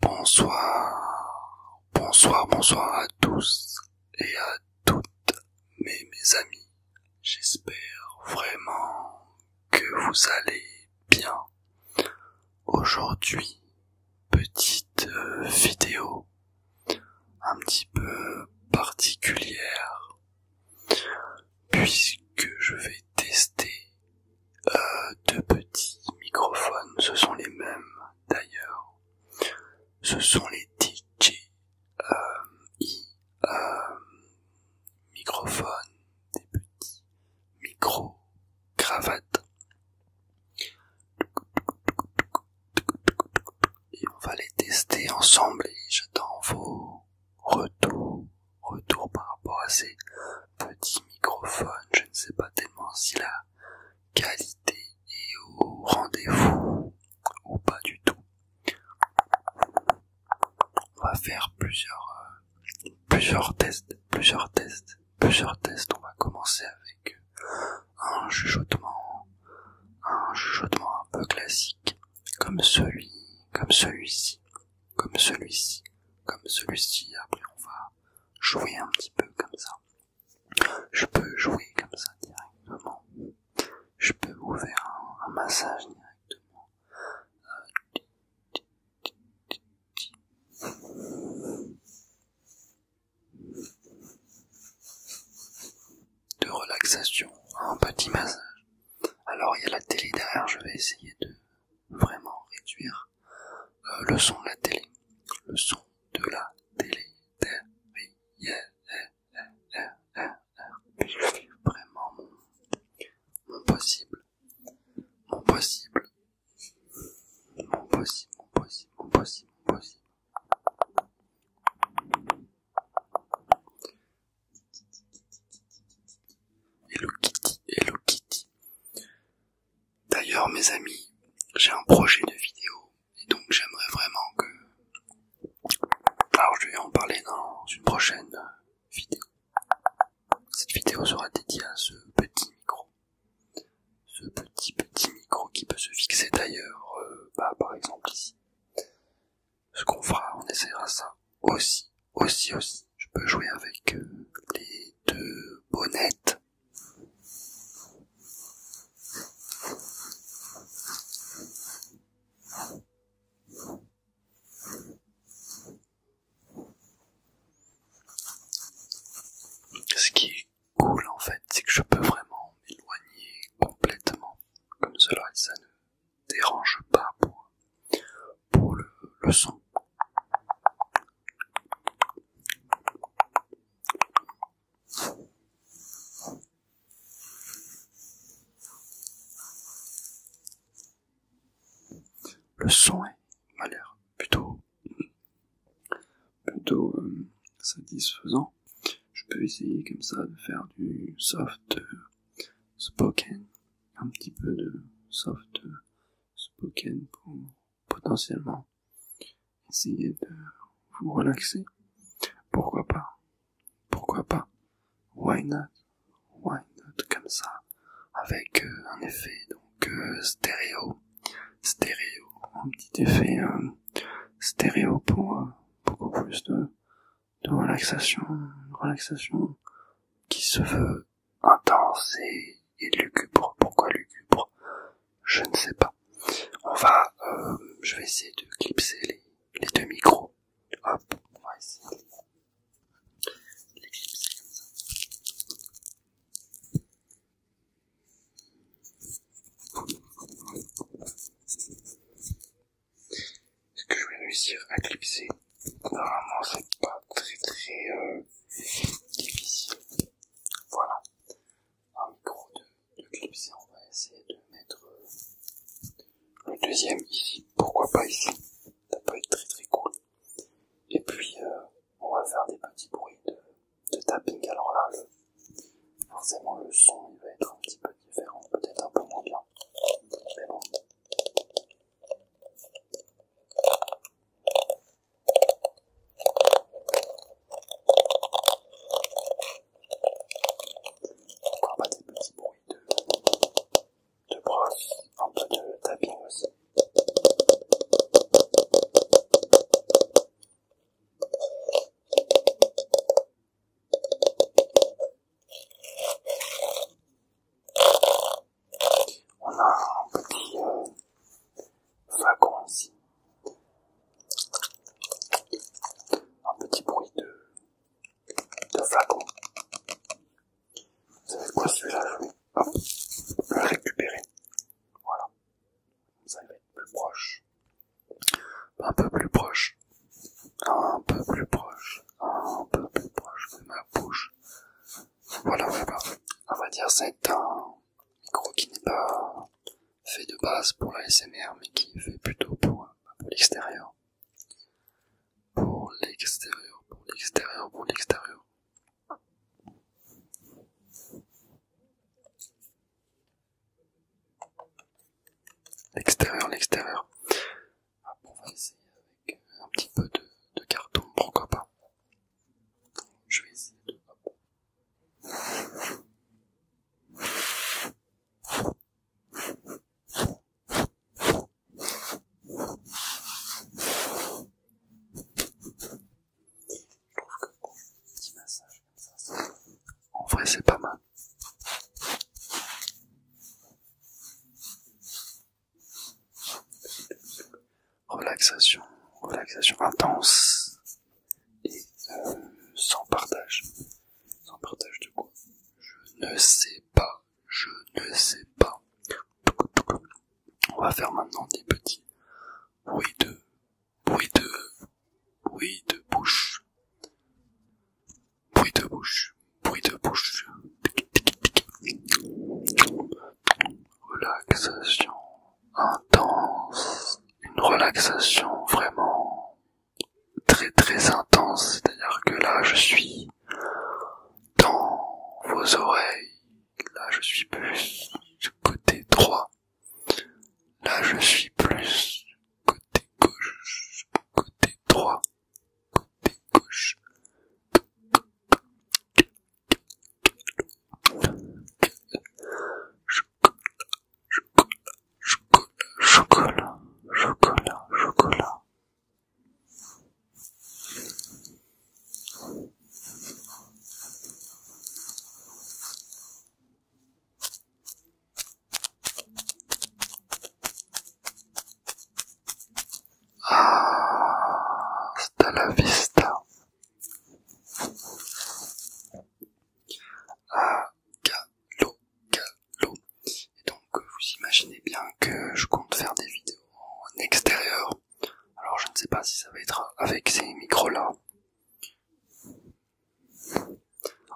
Bonsoir, bonsoir, bonsoir à tous et à toutes mes, mes amis. J'espère vraiment que vous allez bien. Aujourd'hui, petite euh, vidéo un petit peu particulière puisque je vais tester euh, deux petits microphones, ce sont les mêmes d'ailleurs, ce sont les DJ euh, euh, microphones, des petits micro cravates et on va les tester ensemble et j'attends vos retours, retours par rapport à ces petits microphones. Je ne sais pas tellement si la qualité est au rendez-vous ou pas du tout. On va faire plusieurs, euh, plusieurs tests, plusieurs tests, plusieurs tests. On va commencer avec un chuchotement, un chuchotement un peu classique, comme celui, comme celui-ci, comme celui-ci, comme celui-ci. Après, on va jouer un petit peu comme ça. Je peux jouer comme ça directement. Je peux vous un, massage directement de relaxation, un petit massage. Alors il y a la télé derrière, je vais essayer de vraiment réduire euh, le son de la télé. Le son de la télé derrière. vraiment mon possible. Mon possible. Mon possible, mon possible, mon possible, mon possible. Hello Kitty, Hello Kitty. D'ailleurs mes amis, j'ai un projet de vidéo et donc j'aimerais vraiment que... Alors je vais en parler dans une prochaine vidéo. Cette vidéo sera dédiée à ce petit micro ce petit petit micro qui peut se fixer d'ailleurs euh, bah, par exemple ici. Ce qu'on fera, on essaiera ça aussi, aussi, aussi. Je peux jouer avec euh, les deux bonnettes. Ce qui cool en fait, c'est que je peux vraiment m'éloigner complètement comme cela et ça ne dérange pas pour, le, son. Le son est l'air plutôt plutôt euh, satisfaisant. Je peux essayer comme ça de faire du soft euh, spoken, un petit peu de soft euh, spoken pour potentiellement essayer de vous relaxer. Pourquoi pas Pourquoi pas Why not Why not comme ça Avec un effet donc stéréo stéréo, un petit effet euh, stéréo pour euh, beaucoup plus de, relaxation, relaxation qui se veut intense et, lugubre. Pourquoi lugubre Je ne sais pas. On va, euh, je vais essayer de clipser les, les deux micros. Hop, est Ce que je vais réussir à clipser, normalement c'est pas très très euh, difficile. Voilà, un micro de, clipser, on va essayer de mettre euh, le deuxième ici, pourquoi pas ici, ça peut être très très cool. Et puis euh, on va faire des petits bruits de, tapping. Alors là, forcément, le son il va être un petit peu différent, peut-être un peu moins bien. Mais bon. Encore des petits bruits de, de brosse, un peu de tapping aussi. On a un petit flacon ici. Un petit bruit de, flacon. Vous savez quoi celui-là Je vais récupérer. Voilà. Ça va être plus proche. Un peu plus proche. Un peu plus proche. Un peu plus proche de ma bouche. Voilà, voilà. va vrai dire, c'est un micro qui n'est pas fait de base pour la SMR, mais qui est fait plutôt pour l'extérieur. Pour l'extérieur, pour l'extérieur, pour l'extérieur. L'extérieur, l'extérieur. Ah, on va essayer avec euh, un petit peu de, de carton, pourquoi pas. Je vais essayer de... Je trouve que petit massage comme ça, en vrai c'est pas mal. Relaxation, relaxation intense et euh, sans partage. Sans partage de quoi Je ne sais pas, je ne sais pas. On va faire maintenant des petits bruits de, bruit de, bruit de bouche. Bruit de bouche, bruit de bouche. Relaxation intense. Une relaxation vraiment très très intense. C'est-à-dire que là, je suis dans vos oreilles. Là, je suis plus côté droit. Là, je suis plus côté gauche, côté droit, côté gauche. Chocolat, chocolat, chocolat, chocolat, chocolat, ah, c'est la vista. Ah, galop, galop. Donc euh, vous imaginez bien que je compte faire des vidéos en extérieur. Alors je ne sais pas si ça va être avec ces micros là.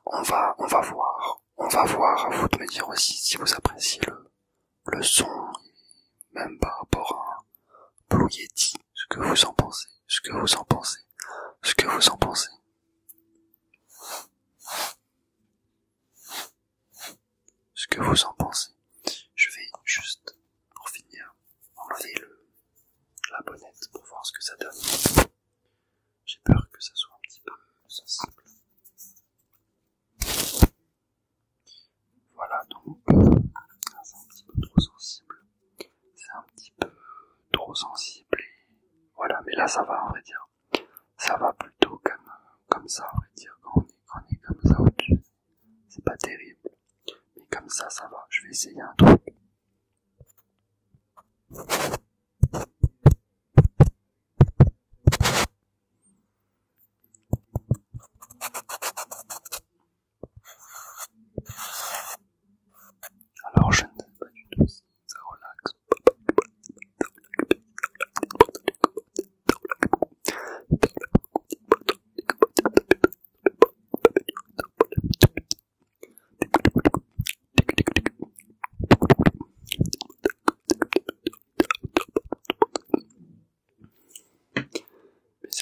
On va, on va voir. On va voir à vous de me dire aussi si vous appréciez le, son, même par rapport à Blue Yeti, ce que vous en pensez, ce que vous en pensez, ce que vous en pensez ce que vous en pensez. Je vais juste, pour finir, enlever la bonnette pour voir ce que ça donne. J'ai peur que ça soit un petit peu sensible. Voilà donc, c'est un petit peu trop sensible. C'est un petit peu trop sensible. Et voilà, mais là ça va, on va dire. Ça va plutôt comme, comme ça, on va dire, on quand on est comme ça au-dessus. C'est pas terrible. Mais comme ça, ça va. Je vais essayer un truc. Alors je ne sais pas du tout si ça relaxe mes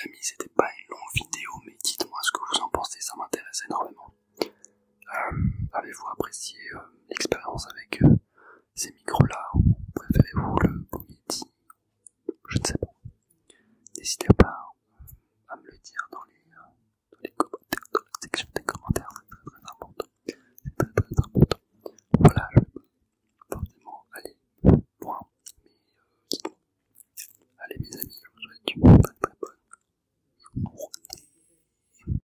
amis, c'était pas une longue vidéo, mais dites-moi ce que vous en pensez, ça m'intéresse énormément. Euh, avez-vous apprécié euh, l'expérience avec euh, ces micros-là ou Préférez-vous le beau Je ne sais pas. N'hésitez pas à me le dire dans les, commentaires, la section des commentaires, c'est très très important. Voilà, je vais pas forcément aller loin, allez mes amis, je vous souhaite une très très bonne journée.